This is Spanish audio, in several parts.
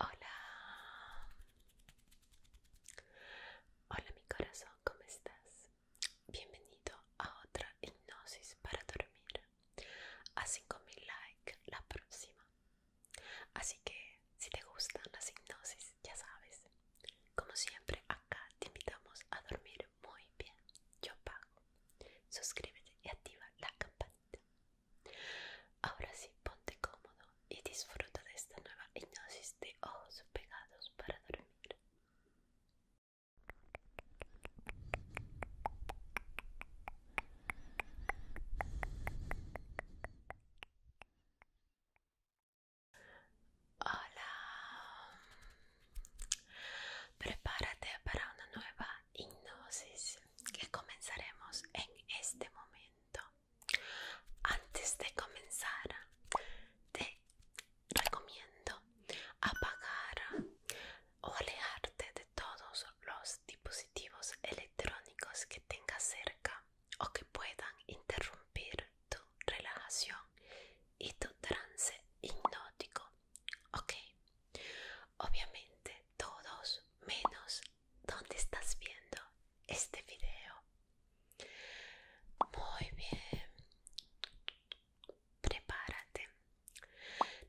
Hola, hola mi corazón, ¿cómo estás? Bienvenido a otra hipnosis para dormir. A 5000 likes la próxima. Así que si te gustan las hipnosis, ya sabes. Como siempre, acá te invitamos a dormir muy bien. Yo pago. Suscríbete y activa la campanita. Ahora sí, ponte cómodo y disfruta de esta nueva hipnosis de ojos pegados para dormir. Hola, prepárate para una nueva hipnosis que comenzaremos en este momento. Antes de comenzar, te recomiendo apagar o alejarte de todos los dispositivos electrónicos que tengas cerca o que puedan interrumpir tu relajación y tu trance hipnótico. Ok, obviamente todos menos donde estás viendo este video. Muy bien. Prepárate.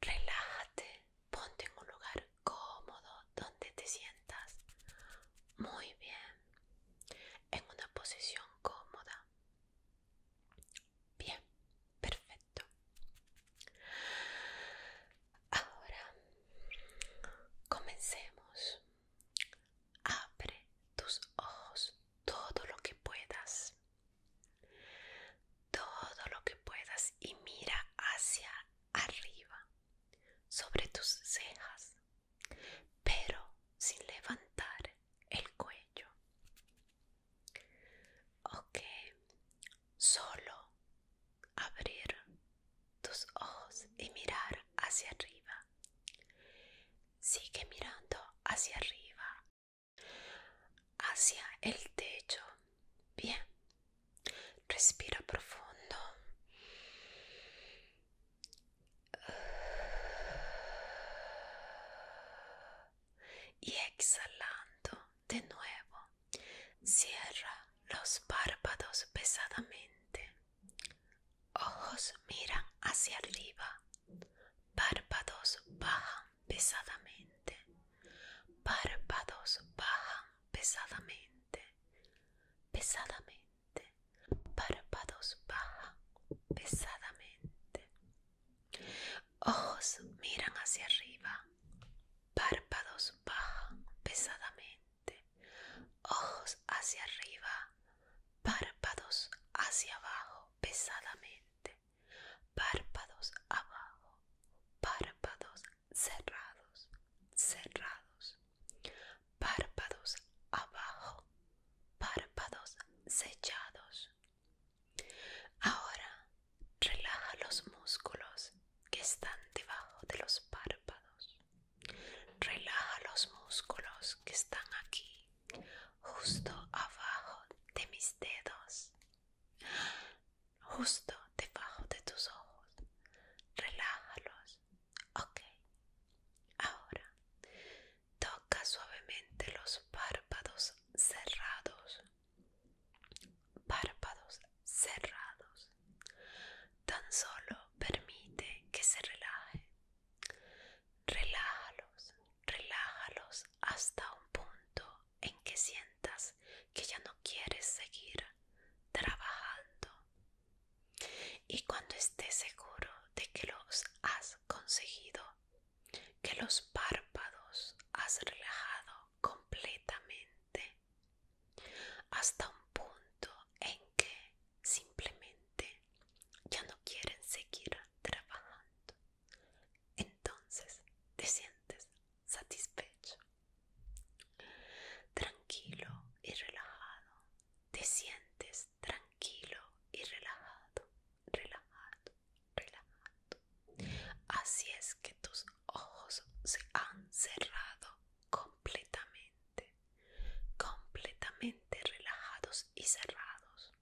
Relájate. Ponte en un lugar cómodo donde te sientas muy bien. En una posición cómoda. Bien, perfecto ahora comencemos abre tus ojos todo lo que puedas todo lo que puedas y mira hacia arriba sobre tus cejas pero sin levantar el cuello ok solo abrir tus ojos y mirar hacia arriba. Sigue mirando hacia arriba, hacia el techo. Bien, respira profundo. Y exhalando de nuevo. Cierra los párpados pesadamente. Ojos miran hacia arriba. Párpados bajan pesadamente. Párpados bajan pesadamente. Pesadamente. Párpados bajan pesadamente. Ojos miran hacia arriba párpados bajan pesadamente, ojos hacia arriba, párpados hacia abajo pesadamente, párpados abajo, párpados cerrados, cerrados, párpados abajo, párpados sellados. Ahora Relaja los músculos que están debajo de los párpados. Relaja los músculos que están aquí, justo abajo de mis dedos, justo debajo de tus ojos. Relájalos. Ok. Ahora toca suavemente los párpados cerrados párpados cerrados. Tan solo permite que se relaje. Relájalos, relájalos hasta un punto en que sientas que ya no quieres seguir trabajando. Y cuando estés seguro de que los has conseguido, que los párpados has relajado, completamente hasta un punto en que simplemente ya no quieren seguir trabajando. Entonces te sientes satisfecho, tranquilo y relajado. Te sientes tranquilo y relajado, relajado relajado. Así es que tus ojos se han cerrado completamente, completamente relajados y cerrados.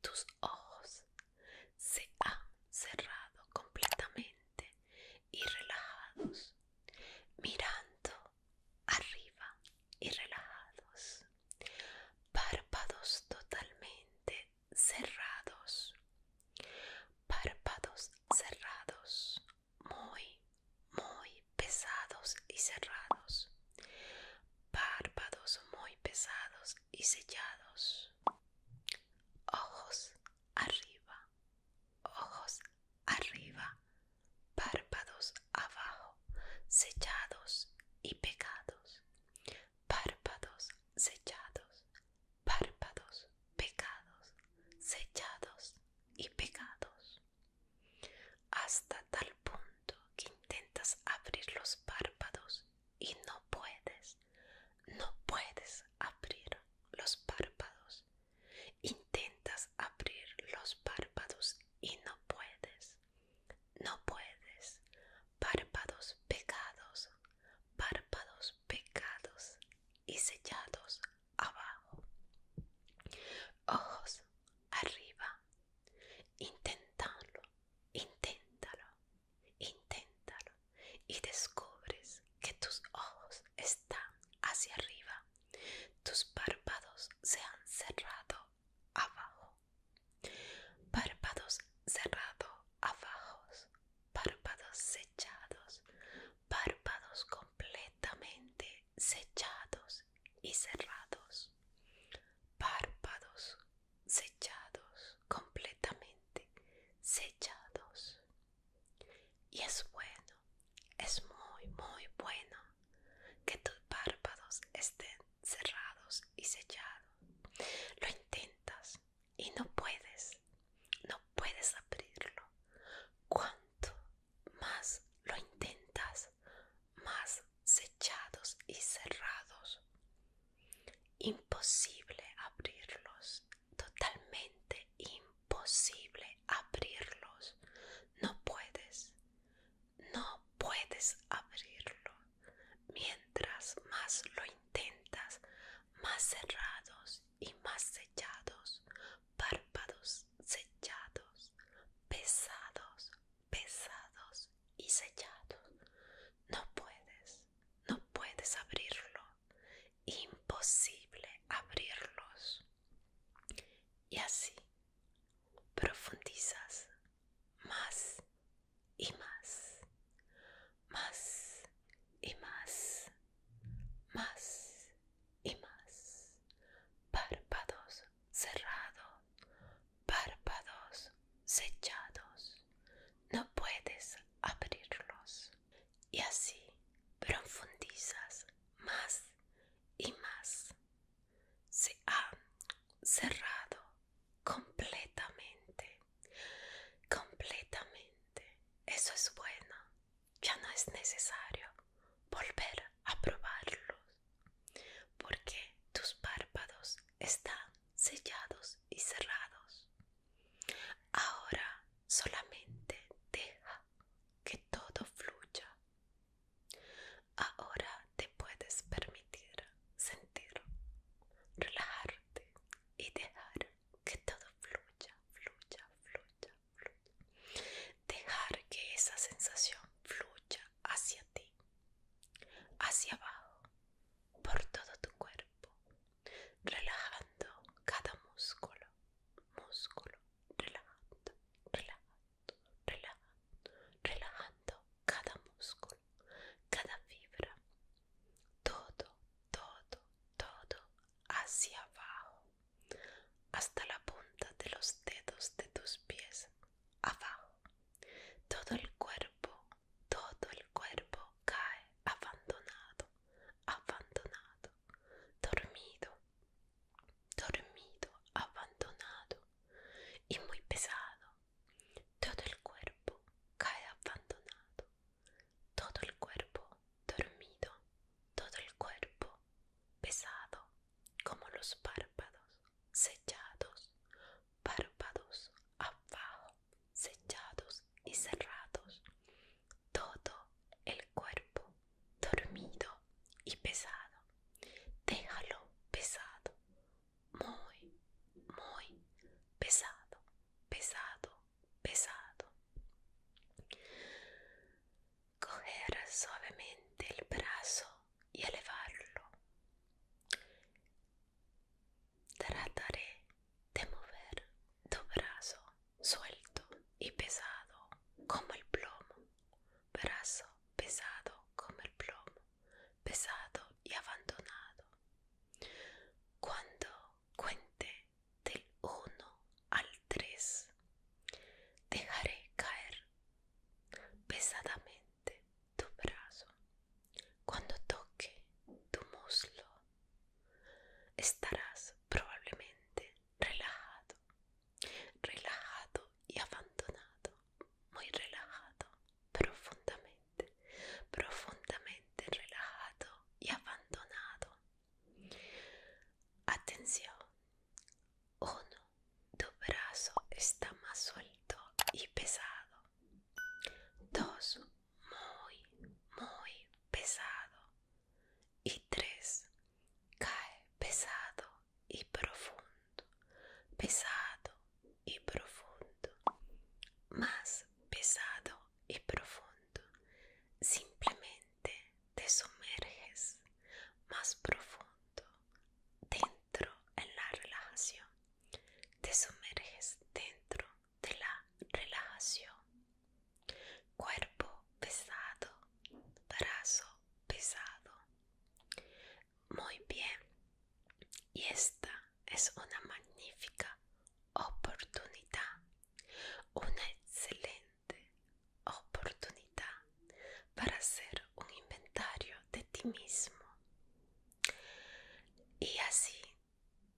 Tus ojos se han cerrado completamente y relajados, mirando arriba y relajados, párpados totalmente cerrados, párpados cerrados, muy, muy pesados y cerrados, párpados muy pesados y sellados, ojos arriba, ojos arriba, párpados abajo, sellados y pegados, párpados sellados párpados, pecados, sellados y pegados, hasta tal punto que intentas abrir los párpados y no puedes, no puedes abrir los párpados, intentas abrir los párpados y no puedes, no puedes párpados pegados, párpados pegados y sellados abajo, ojos arriba. Inténtalo, inténtalo, inténtalo y descubres que tus ojos están hacia arriba, tus párpados se han cerrado abajo. Párpados cerrados abajo, párpados sechados, párpados completamente sechados y cerrados. Párpados sechados, completamente sechados. Y es bueno, es muy, muy bueno que tus párpados estén cerrados y sellados. Lo intentas, y no puedes, no puedes abrirlo. Cuanto más lo intentas, más sechados y cerrados. Imposible abrirlos, totalmente imposible abrirlos. No puedes, no puedes abrirlo. Mientras más lo intentas, más cerrados y más sellados, párpados sellados, pesados, pesados y sellados. No puedes, no puedes abrirlo. Imposible abrirlos. Y así profundizas más y más, más y más, más y más. Párpados cerrados, párpados sellados. No puedes abrirlos. Y así profundizas más y más. Se ha cerrado completamente completamente. Eso es bueno. Ya no es necesario volver a probarlos porque tus párpados están sellados y cerrados. Ahora solamente deja que todo fluya. Ahora te puedes permitir sentir, relajarte y dejar que todo fluya, fluya, fluya, fluya. Dejar que esa sensación fluya hacia ti, hacia abajo, por todo tu cuerpo, relajando cada músculo, músculo, relajando, relajando, relajando, relajando cada músculo cada fibra, todo, todo, todo hacia abajo, hasta la punta de los dedos de tus pies, abajo, todo el cuerpo, todo el cuerpo cae abandonado, abandonado, dormido, dormido, abandonado y muy pesado, todo el cuerpo cae abandonado, todo el cuerpo dormido, todo el cuerpo pesado, como los párpados sellados, párpados abajo, sellados y cerrados, todo el cuerpo dormido y pesado, déjalo pesado, muy, muy pesado, pesado, pesado. Coger suavemente el brazo y elevarlo. Trataré de mover tu brazo suelto y pesado como el plomo. Brazo pesado como el plomo pesado y abandonado. Cuando cuente del 1 al 3, dejaré caer pesadamente tu brazo. Cuando toque tu muslo, estarás probablemente relajado, relajado y abandonado muy relajado, profundamente, profundamente relajado y abandonado. Atención, uno, tu brazo está más suelto y pesado. Dos, muy, muy pesado. Y tres, cae pesado y profundo pesado y profundo, más pesado y profundo. Simplemente te sumerges más profundo dentro en la relajación. Te sumerges dentro de la relajación. Cuerpo pesado, brazo pesado. Muy bien. Y esta es una magnífica oportunidad, una excelente oportunidad para hacer un inventario de ti mismo y así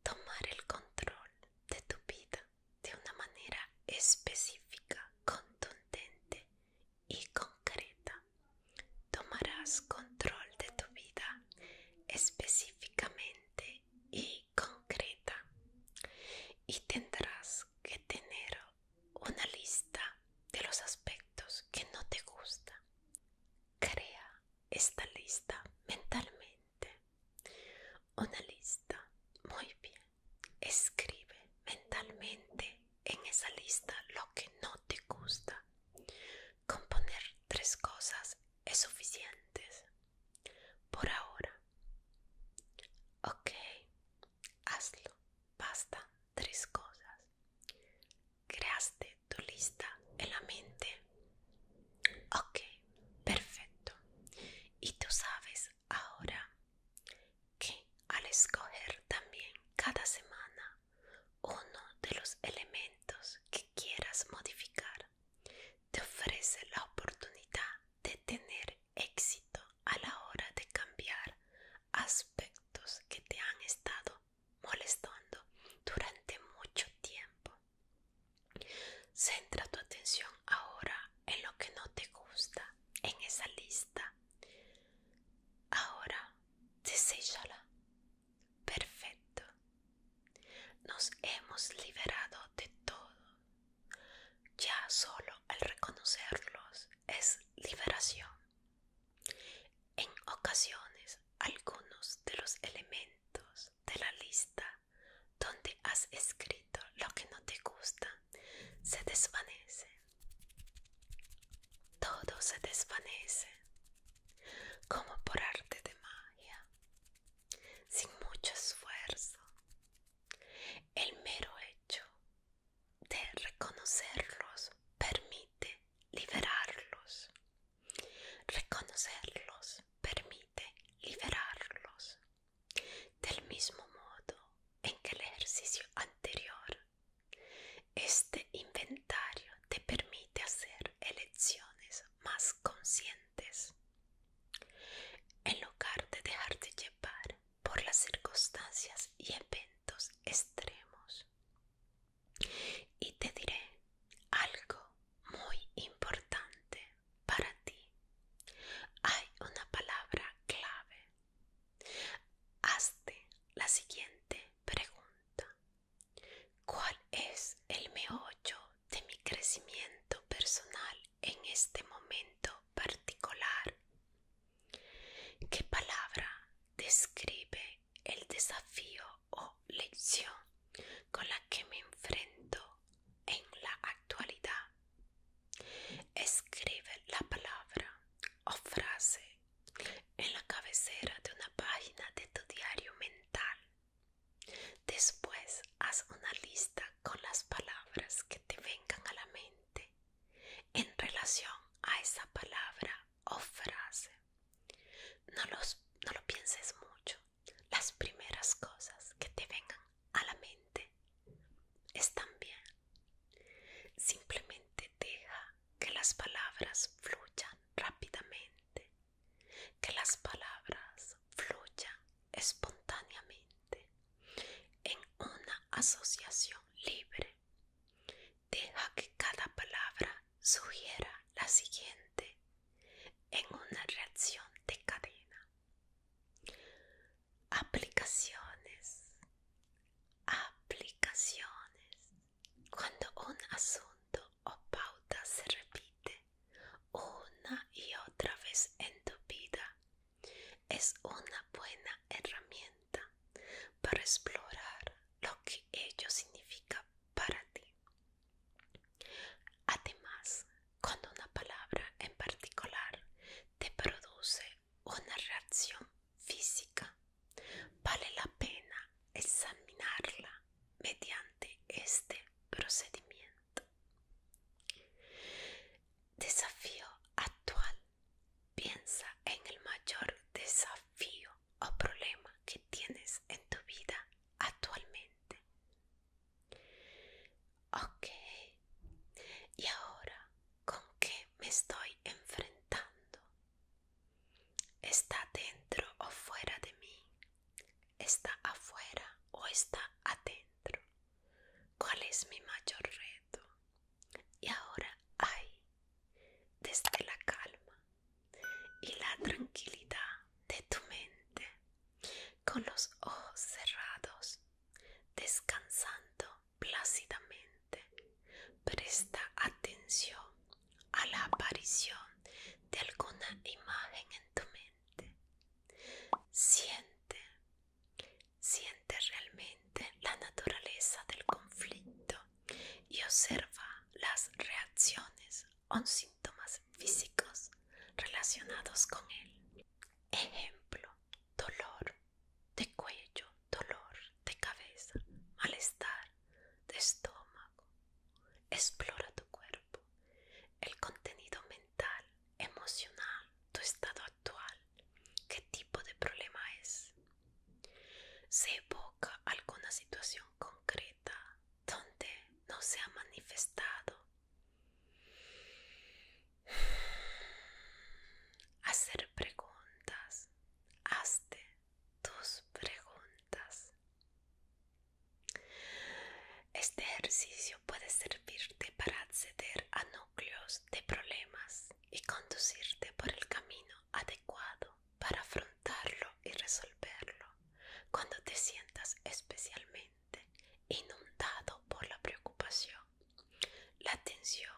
tomar el control de tu vida de una manera específica, contundente y concreta tomarás control de tu vida específicamente y concreta y tendrás que tener una lista de los aspectos que no te gusta. Crea esta lista mentalmente. Una lista. Muy bien. Escribe mentalmente en esa lista lo que no te gusta. Componer tres cosas es suficiente. Por ahora. Ok, hazlo. Basta tres cosas. Creaste tu lista en la mente. Ok, perfecto. Y tú sabes ahora que al escoger también cada semana uno de los elementos que quieras modificar te ofrece la oportunidad de tener éxito a la hora de cambiar aspectos que te han estado molestando durante mucho tiempo. Centra tu atención ahora en lo que no te gusta, en esa lista. Ahora Desechala Perfecto. Nos hemos liberado de todo. Ya solo al reconocerlos es liberación. En ocasiones, algunos de los elementos de la lista donde has escrito lo que no te gusta se desvanecen todo se desvanece como por arte de magia, sin mucho esfuerzo. El mero hecho de reconocerlos permite liberarlos. Reconocerlos permite liberarlos. Del mismo modo en que el ejercicio anterior este inventario te permite hacer elecciones más conscientes. En lugar de dejarte llevar por las circunstancias y eventos extremos. Y te diré algo muy importante para ti. Hay una palabra clave Hazte la siguiente pregunta. ¿Cuál es el meollo de mi crecimiento personal en este momento particular? ¿Qué palabra describe el desafío o lección con la que me enfrento en la actualidad? Escribe la palabra o frase en la cabecera de una página de tu diario mental. Después haz una lista con las palabras que te vengan a la mente en relación a esa palabra o frase. No, los, no lo pienses mucho. Las primeras cosas que te vengan a la mente están bien. Simplemente deja que las palabras fluyan rápidamente, que las palabras fluyan espontáneamente en una asociación libre. Deja que cada palabra sugiera la siguiente en una reacción de cadena. Aplicaciones, aplicaciones. Cuando un asunto o pauta se repite una y otra vez en tu vida, es una buena herramienta para explorar lo que ello significa para ti. Además, cuando una palabra en particular te produce una reacción física, vale la pena examinarla mediante este procedimiento. Desafío actual. Piensa en el mayor desafío o problema que tienes en tu vida actualmente. Ok. Y ahora con qué me estoy enfrentando. Está dentro o fuera de mí. Está afuera o está adentro. ¿Cuál es mi mayor reto? Y ahora hay, desde la calma y la tranquilidad de tu mente, con los ojos cerrados, descansando plácidamente. Presta atención a la aparición de alguna imagen en tu mente. Siente, siente realmente la naturaleza del conflicto y observa las reacciones o síntomas físicos relacionados con él. Ejemplo, dolor, de cuello, dolor de cabeza, malestar de estómago. Explora tu cuerpo, el contenido mental, emocional, tu estado actual, qué tipo de problema es. Se evoca alguna situación concreta donde no se ha manifestado. hacer preguntas. Hazte tus preguntas. Este ejercicio puede servirte para acceder a núcleos de problemas y conducirte por el camino adecuado para afrontarlo y resolverlo cuando te sientas especialmente inundado por la preocupación la atención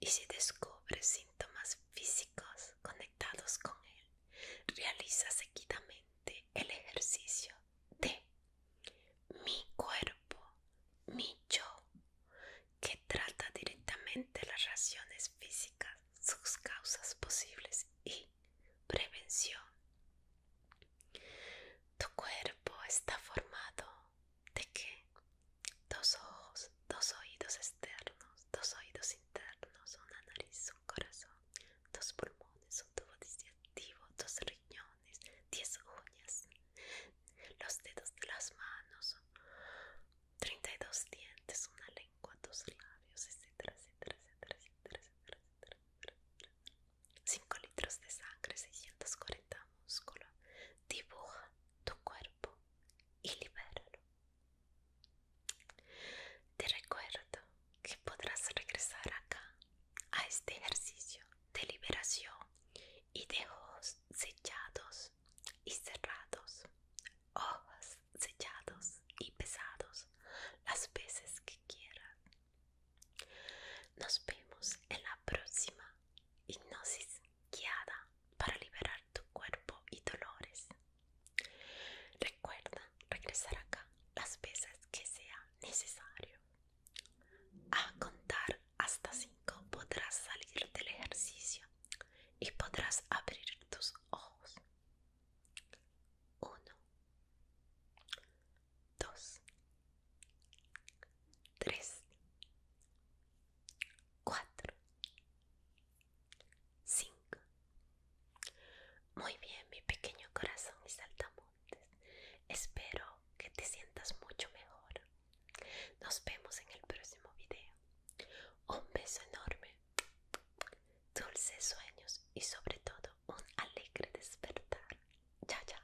y si descubres síntomas físicos conectados con él, realiza seguidamente el ejercicio de mi cuerpo, mi yo, que trata directamente las reacciones físicas, sus causas posibles y prevención. Tu cuerpo está formado de qué? dos ojos, dos oídos externos, dos oídos internos, una nariz, un corazón, dos pulmones, un tubo digestivo, dos riñones, diez uñas, los dedos de las manos, 32 dientes, una lengua, dos labios, etcétera, etcétera, 5 litros de sangre, 640 músculos. Dibuja tu cuerpo y liberarlo Te recuerdo que podrás regresar acá a este ejercicio de liberación y de ojos sellados y cerrados, ojos sellados y pesados las veces que quieras. Nos vemos en la próxima hipnosis guiada para liberar tu cuerpo y dolores. Recuerda regresar acá las veces que sea necesario. A contar hasta 5 podrás salir del ejercicio y podrás abrir tus ojos. 1, 2, tres, cuatro, cinco. Muy bien, mi pequeño corazón y saltamontes. Espero que te sientas mucho mejor. Nos vemos en el próximo video. Un beso enorme, dulces sueños y sobre todo un alegre despertar. Ya, ya.